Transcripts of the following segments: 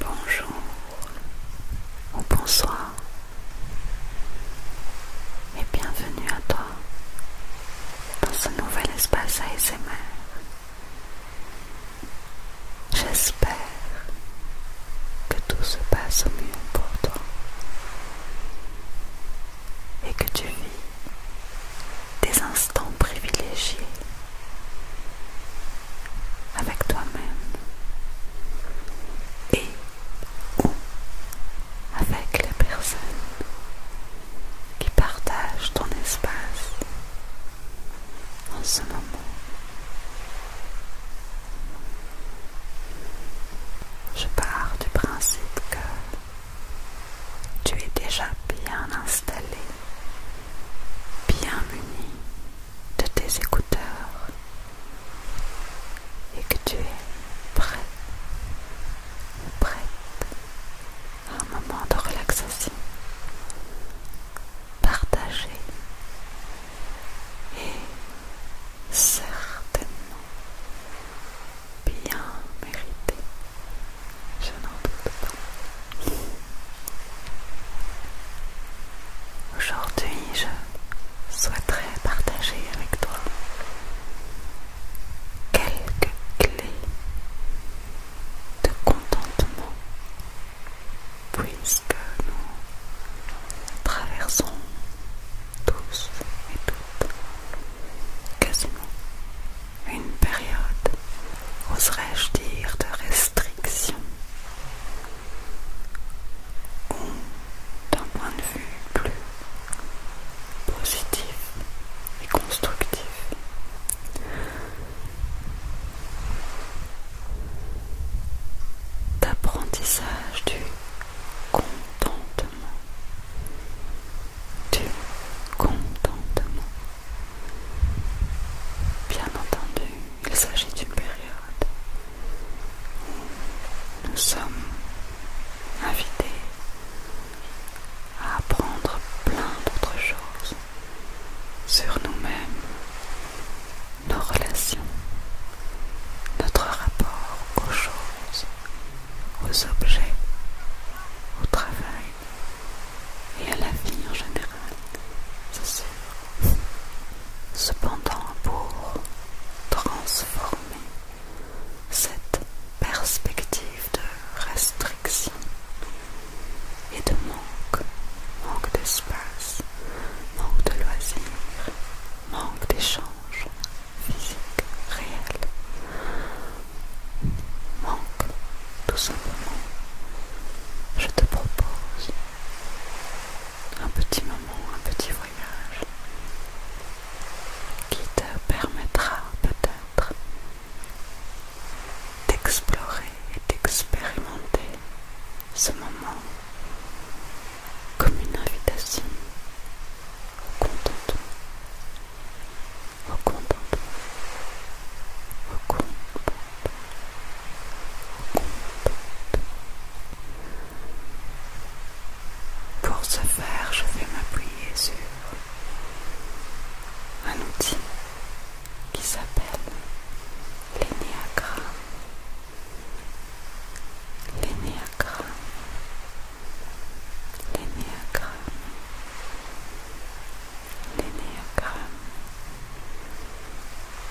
Bonjour ou bonsoir et bienvenue à toi dans ce nouvel espace ASMR. J'espère que tout se passe au mieux pour toi et que tu vis des instants privilégiés avec toi-même et avec les personnes qui partagent ton espace en ce moment. Je pars du principe que tu es déjà bien installé, bien muni de tes écouteurs et que tu es prêt prête à un moment de relaxation partagé et certainement bien mérité. Je n'en doute pas. Aujourd'hui, je souhaiterais partager avec toi quelques clés de contentement puisque nous traversons tous et toutes quasiment une période, oserais-je dire, de restriction, ou d'un point de vue plus positif et constructif. D'apprentissage du contentement du contentement. Bien entendu, il s'agit d'une période où nous sommes invités à apprendre plein d'autres choses sur nous-mêmes, nos relations, notre rapport aux choses, aux objets, au travail et à la vie en général, c'est sûr. Cependant, pour transformer cette perspective de restriction et de manque, manque d'espace, manque de loisirs, manque d'échanges, physique réel, manque tout simplement. Je te propose un petit moment, un petit voyage qui te permettra peut-être d'explorer et d'expérimenter ce moment comme une invitation au contentement, pour ce faire, je vais m'appuyer sur un outil qui s'appelle l'énéagramme l'énéagramme,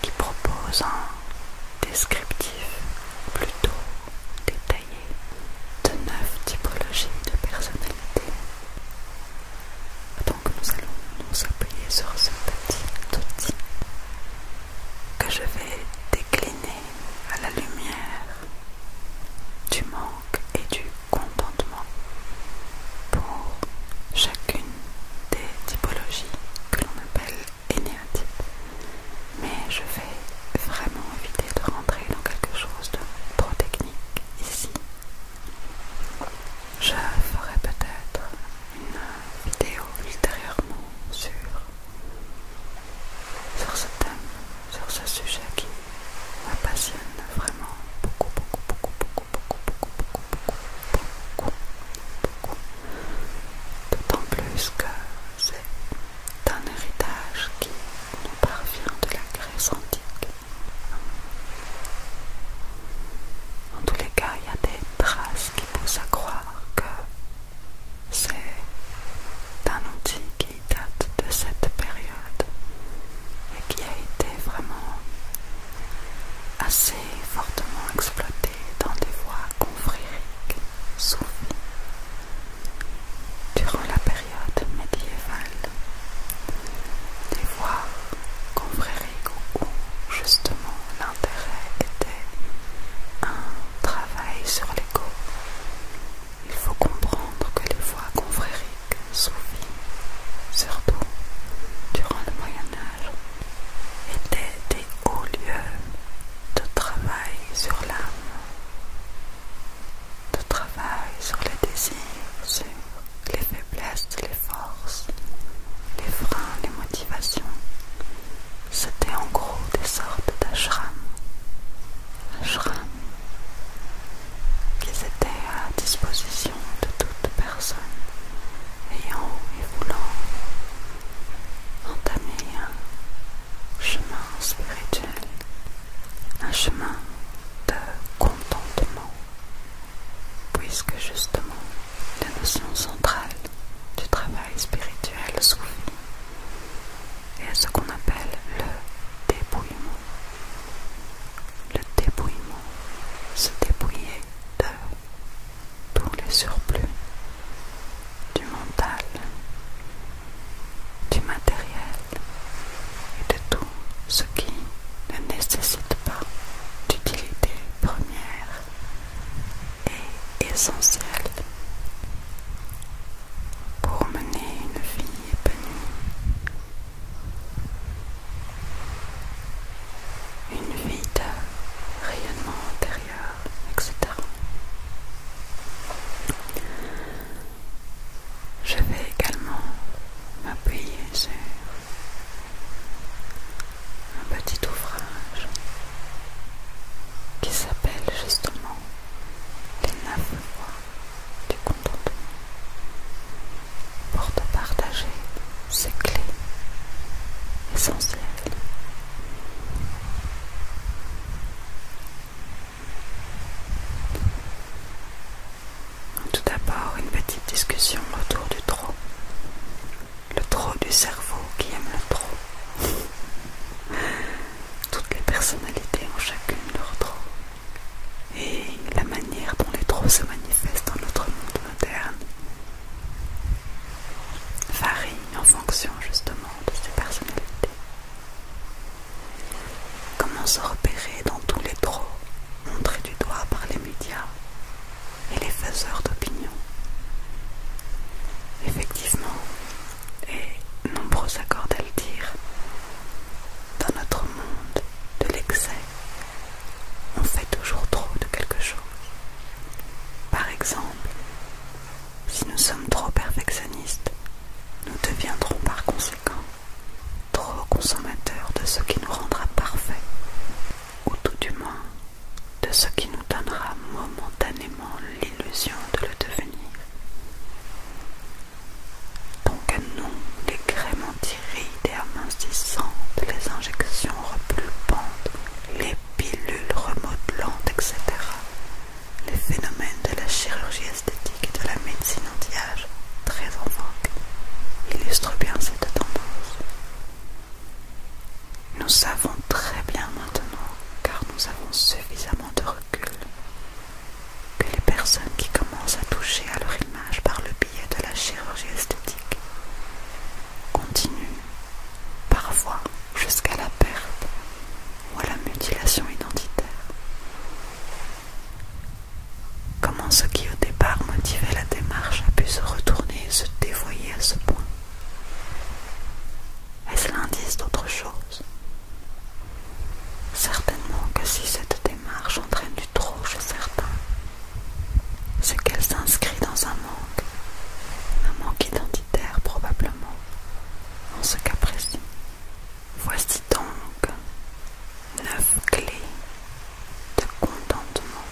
qui propose un descriptif plutôt détaillé de neuf typologies de personnalité. Donc nous allons nous appuyer sur ce petit outil que je vais décliner à la lumière du monde et du contentement pour chacune des typologies que l'on appelle énéatypes. Mais je vais vraiment éviter de rentrer dans quelque chose de trop technique ici. Je ferai peut-être une vidéo ultérieurement sur, sur ce thème, sur ce sujet qui la passionne vraiment beaucoup, beaucoup, beaucoup, beaucoup, beaucoup, beaucoup, beaucoup, beaucoup, beaucoup. D'autant plus que c'est un héritage qui nous parvient de la Grèce antique. En tous les cas, il y a des traces qui poussent à croire que c'est un outil qui date de cette période et qui a été vraiment assez fortement exploité dans des voies confrériques souvenirs durant la période médiévale. des voies confrériques où justement l'intérêt était un travail sur l'ego il faut comprendre que les voies confrériques soufis, surtout durant le Moyen Âge, étaient des hauts lieux de travail sur l'âme, de travail sur les désirs, sur les faiblesses, les forces, les freins, les motivations. C'était en gros des sortes d'ashrams Shram qu'ils étaient à disposition de toute personne ayant et voulant entamer un chemin spirituel, un chemin de contentement, puisque justement la notion centrale du travail spirituel souligne et ce qu'on appelle le dépouillement. Le dépouillement, se débrouiller de tous les surplus, du mental, du matériel et de tout ce qui ne nécessite pas d'utilité première et essentielle pour mener une vie épanouie, une vie de rayonnement intérieur, etc. Je vais également m'appuyer sur un petit ouvrage qui s'appelle justement Les neuf voies du contentement pour te partager ces clés essentielles. Tout d'abord, une petite discussion autour du trop. Le trop du cerveau qui aime le trop. toutes les personnalités ont chacune leur trop. Et la manière dont les trop se manifestent dans notre monde moderne varie en fonction justement de ces personnalités. Comment se repérer dans tous les trop montrés du doigt par les médias et les faiseurs d'opinion Effectivement, et nombreux s'accordent à le dire. Dans notre monde de l'excès, on fait toujours trop de quelque chose. Par exemple, si nous sommes trop perfectionnistes, nous deviendrons par conséquent trop consommateurs de ce qui nous rendra parfaits, ou tout du moins de ce qui nous donnera momentanément l'illusion de le devenir. Donc nous, les crèmes anti et amincissantes, les injections repulpantes, les pilules remodelantes, etc. Les phénomènes de la chirurgie esthétique et de la médecine anti-âge, très en vogue, illustrent bien cette tendance. Nous savons très bien maintenant, car nous avons suffisamment de recul, que les personnes qui commencent à toucher à leur image par le biais de la chirurgie esthétique continuent parfois jusqu'à la perte ou à la mutilation identitaire. Comment ce qui au départ motivait la démarche a pu se retourner et se dévoyer à ce point Est-ce l'indice d'autre chose Certainement que si cette démarche entraîne du trop chez certains, c'est qu'elle s'inscrit dans un manque, un manque identitaire probablement, en ce cas précis. Voici donc neuf clés de contentement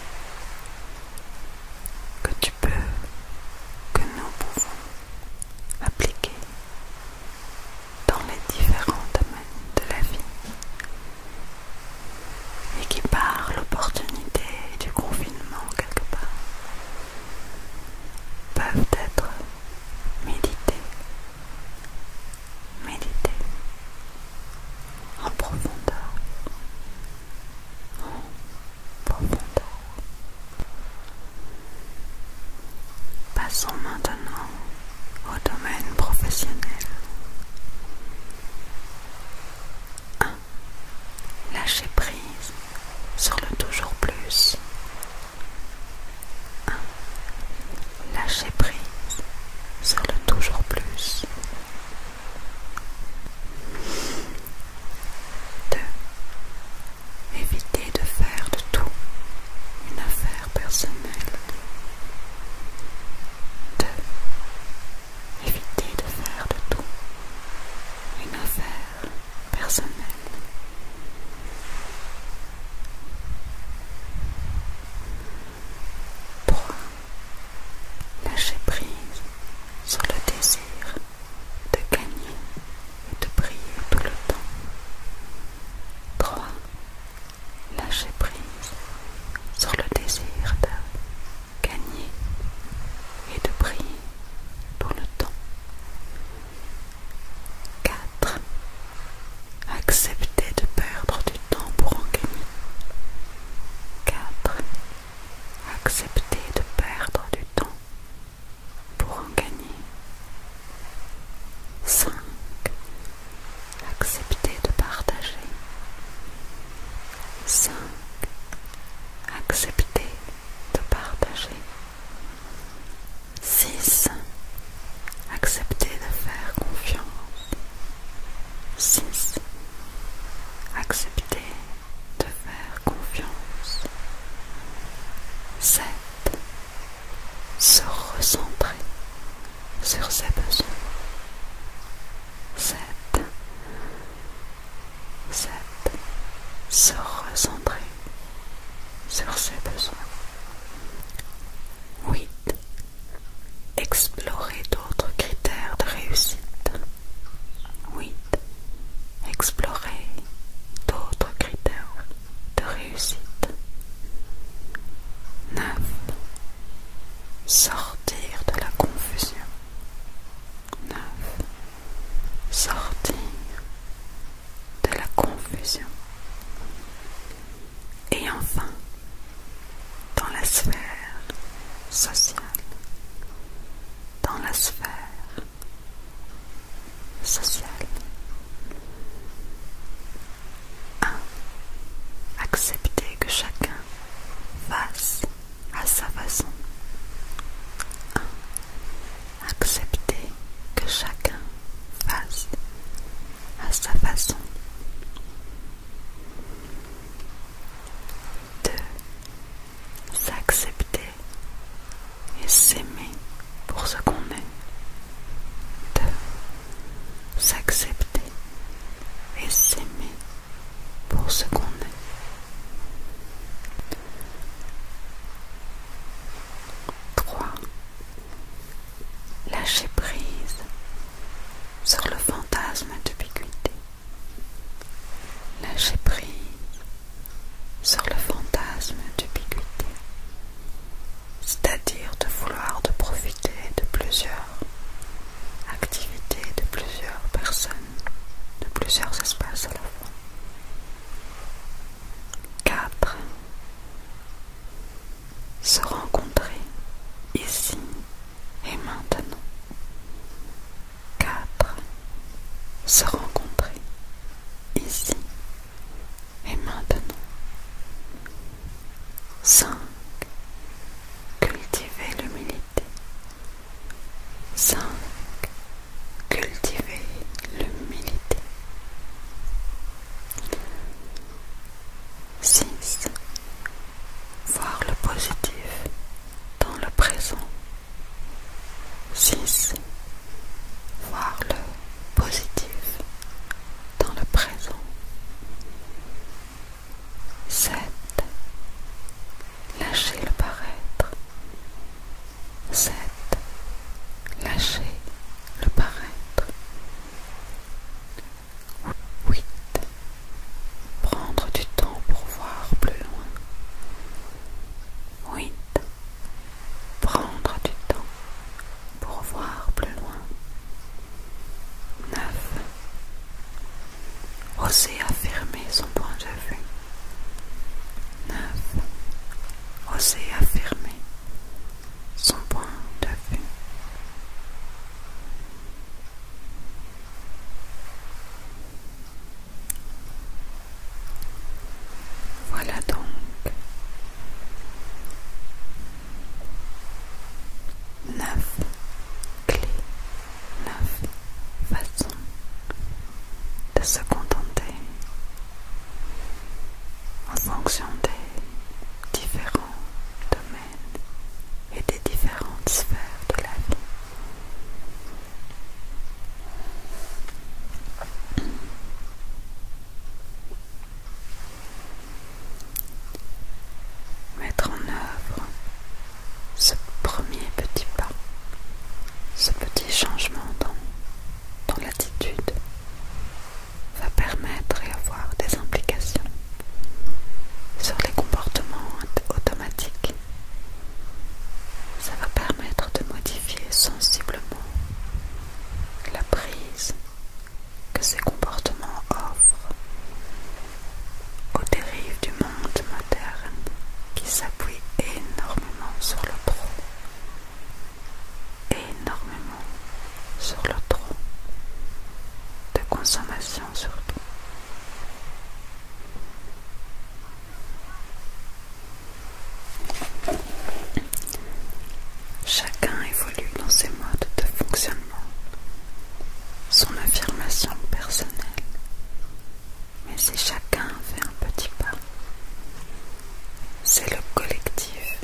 que tu peux, que nous pouvons Appliqués dans les différents domaines de la vie et qui par l'opportunité du confinement quelque part peuvent être médités méditées en profondeur, en profondeur. Passons maintenant au domaine professionnel. 1. Lâcher prise sur le toujours plus. 1. Lâcher prise sur le toujours plus. 2 éviter de faire de tout une affaire personnelle. 2. Éviter de faire de tout une affaire personnelle. Trois. Lâcher prise sur le désir de gagner et de prier tout le temps. 3. Lâcher prise sur le désir de gagner et de prier tout le temps. 4. Accepter de perdre du temps pour en gagner. 4. Accepter de perdre du temps pour en gagner. 5. Accepter de partager. 5. Accepter de partager. 6. Accepter de faire confiance. 6. Accepter de faire confiance, 7 se recentrer sur ses besoins. 7. Se recentrer sur ses besoins. 8. Explorer d'autres critères de réussite. 8 explorer d'autres critères de réussite. 9. Sortir de la confusion. 9. Sortir de la confusion. Et enfin, dans la sphère sociale, dans la sphère 1. Accepter que chacun fasse à sa façon. 1. Accepter que chacun fasse à sa façon. 2 s'accepter et s'aimer pour ce qu'on est. Deux. S'accepter et s'aimer pour ce qu'on est. Trois. Lâcher prise sur le fantasme d'ubiquité. Lâcher prise sur le fantasme d'ubiquité, c'est-à-dire de vouloir profiter de plusieurs activités, de plusieurs personnes, de plusieurs espaces à la fois. 4. Se rencontrer ici et maintenant. 4. se rencontrer ici et maintenant. 5. cultiver l'humilité. 5. cultiver l'humilité. 6. Voir le positif dans le présent 6. Voir le positif dans le présent. 7. Lâcher le paraître. 7. Lâcher le paraître. 8. Prendre du temps pour voir plus loin. 8 prendre du temps pour voir plus loin. 9. Oser affirmer son point de vue. 9. Oser affirmer son point de vue. Voilà donc neuf clés, neuf façons de se contenter en fonction des différents domaines et des différentes sphères de la vie. Mettre en œuvre ce premier petit pas, ce petit changement dans, dans l'attitude va permettre et avoir des implications sur les comportements automatiques ça va permettre de modifier sensiblement la prise que ces comportements offrent aux dérives du monde moderne qui s'appuie énormément sur le pro, énormément sur le trop de consommation surtout. Chacun évolue dans ses modes de fonctionnement, son affirmation personnelle. Mais si chacun fait un petit pas, c'est le collectif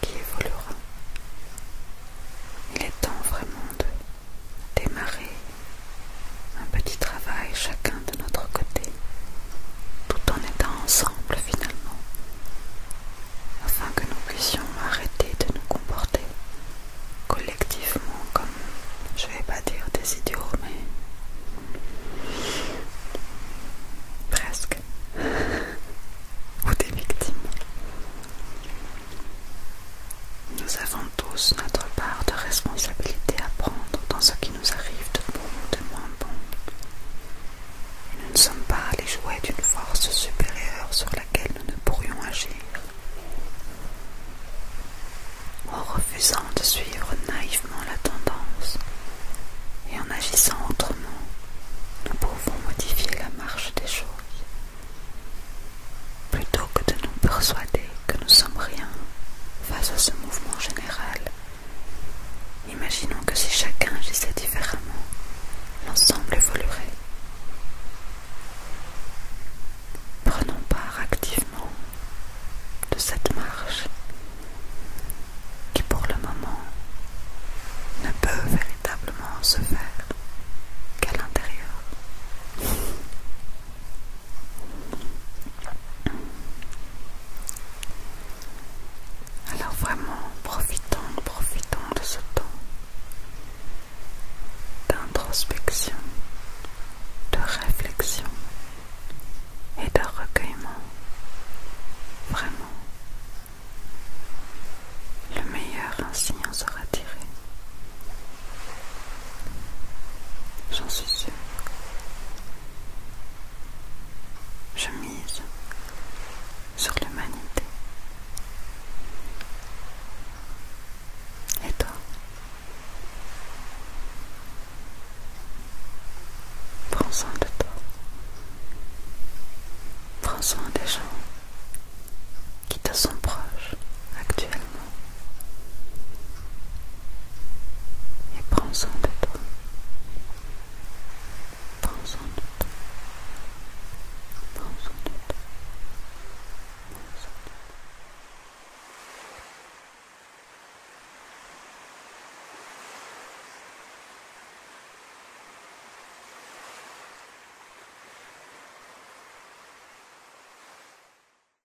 qui évoluera. Il est temps vraiment de démarrer un petit travail chacun de notre côté, tout en étant ensemble finalement, afin que nous puissions arrêter de nous comporter collectivement comme, je vais pas dire des idiots, mais presque, ou des victimes. Nous avons tous notre part de responsabilité à prendre dans ce qui nous arrive de bon ou de moins bon. nous ne sommes pas les jouets d'une force supérieure sur laquelle nous ne pourrions agir. En refusant de suivre naïvement la tendance et en agissant autrement, nous pouvons modifier la marche des choses. Plutôt que de nous persuader que nous sommes rien face à ce mouvement général. Imaginons que si chacun agissait différemment, l'ensemble évoluerait. Prenons part activement de cette marche qui pour le moment ne peut véritablement se faire qu'à l'intérieur. Alors vraiment, profitons, profitons de ce temps d'introspection, de réflexion et de recueillement. Vraiment, le meilleur ainsi en sera tiré. J'en suis sûre. Je mise sur l'humanité. Et toi Prends soin de toi. Prends soin des gens qui te sont proches actuellement. Et prends soin de toi. Prends soin de toi. Prends soin de toi. Prends soin de toi.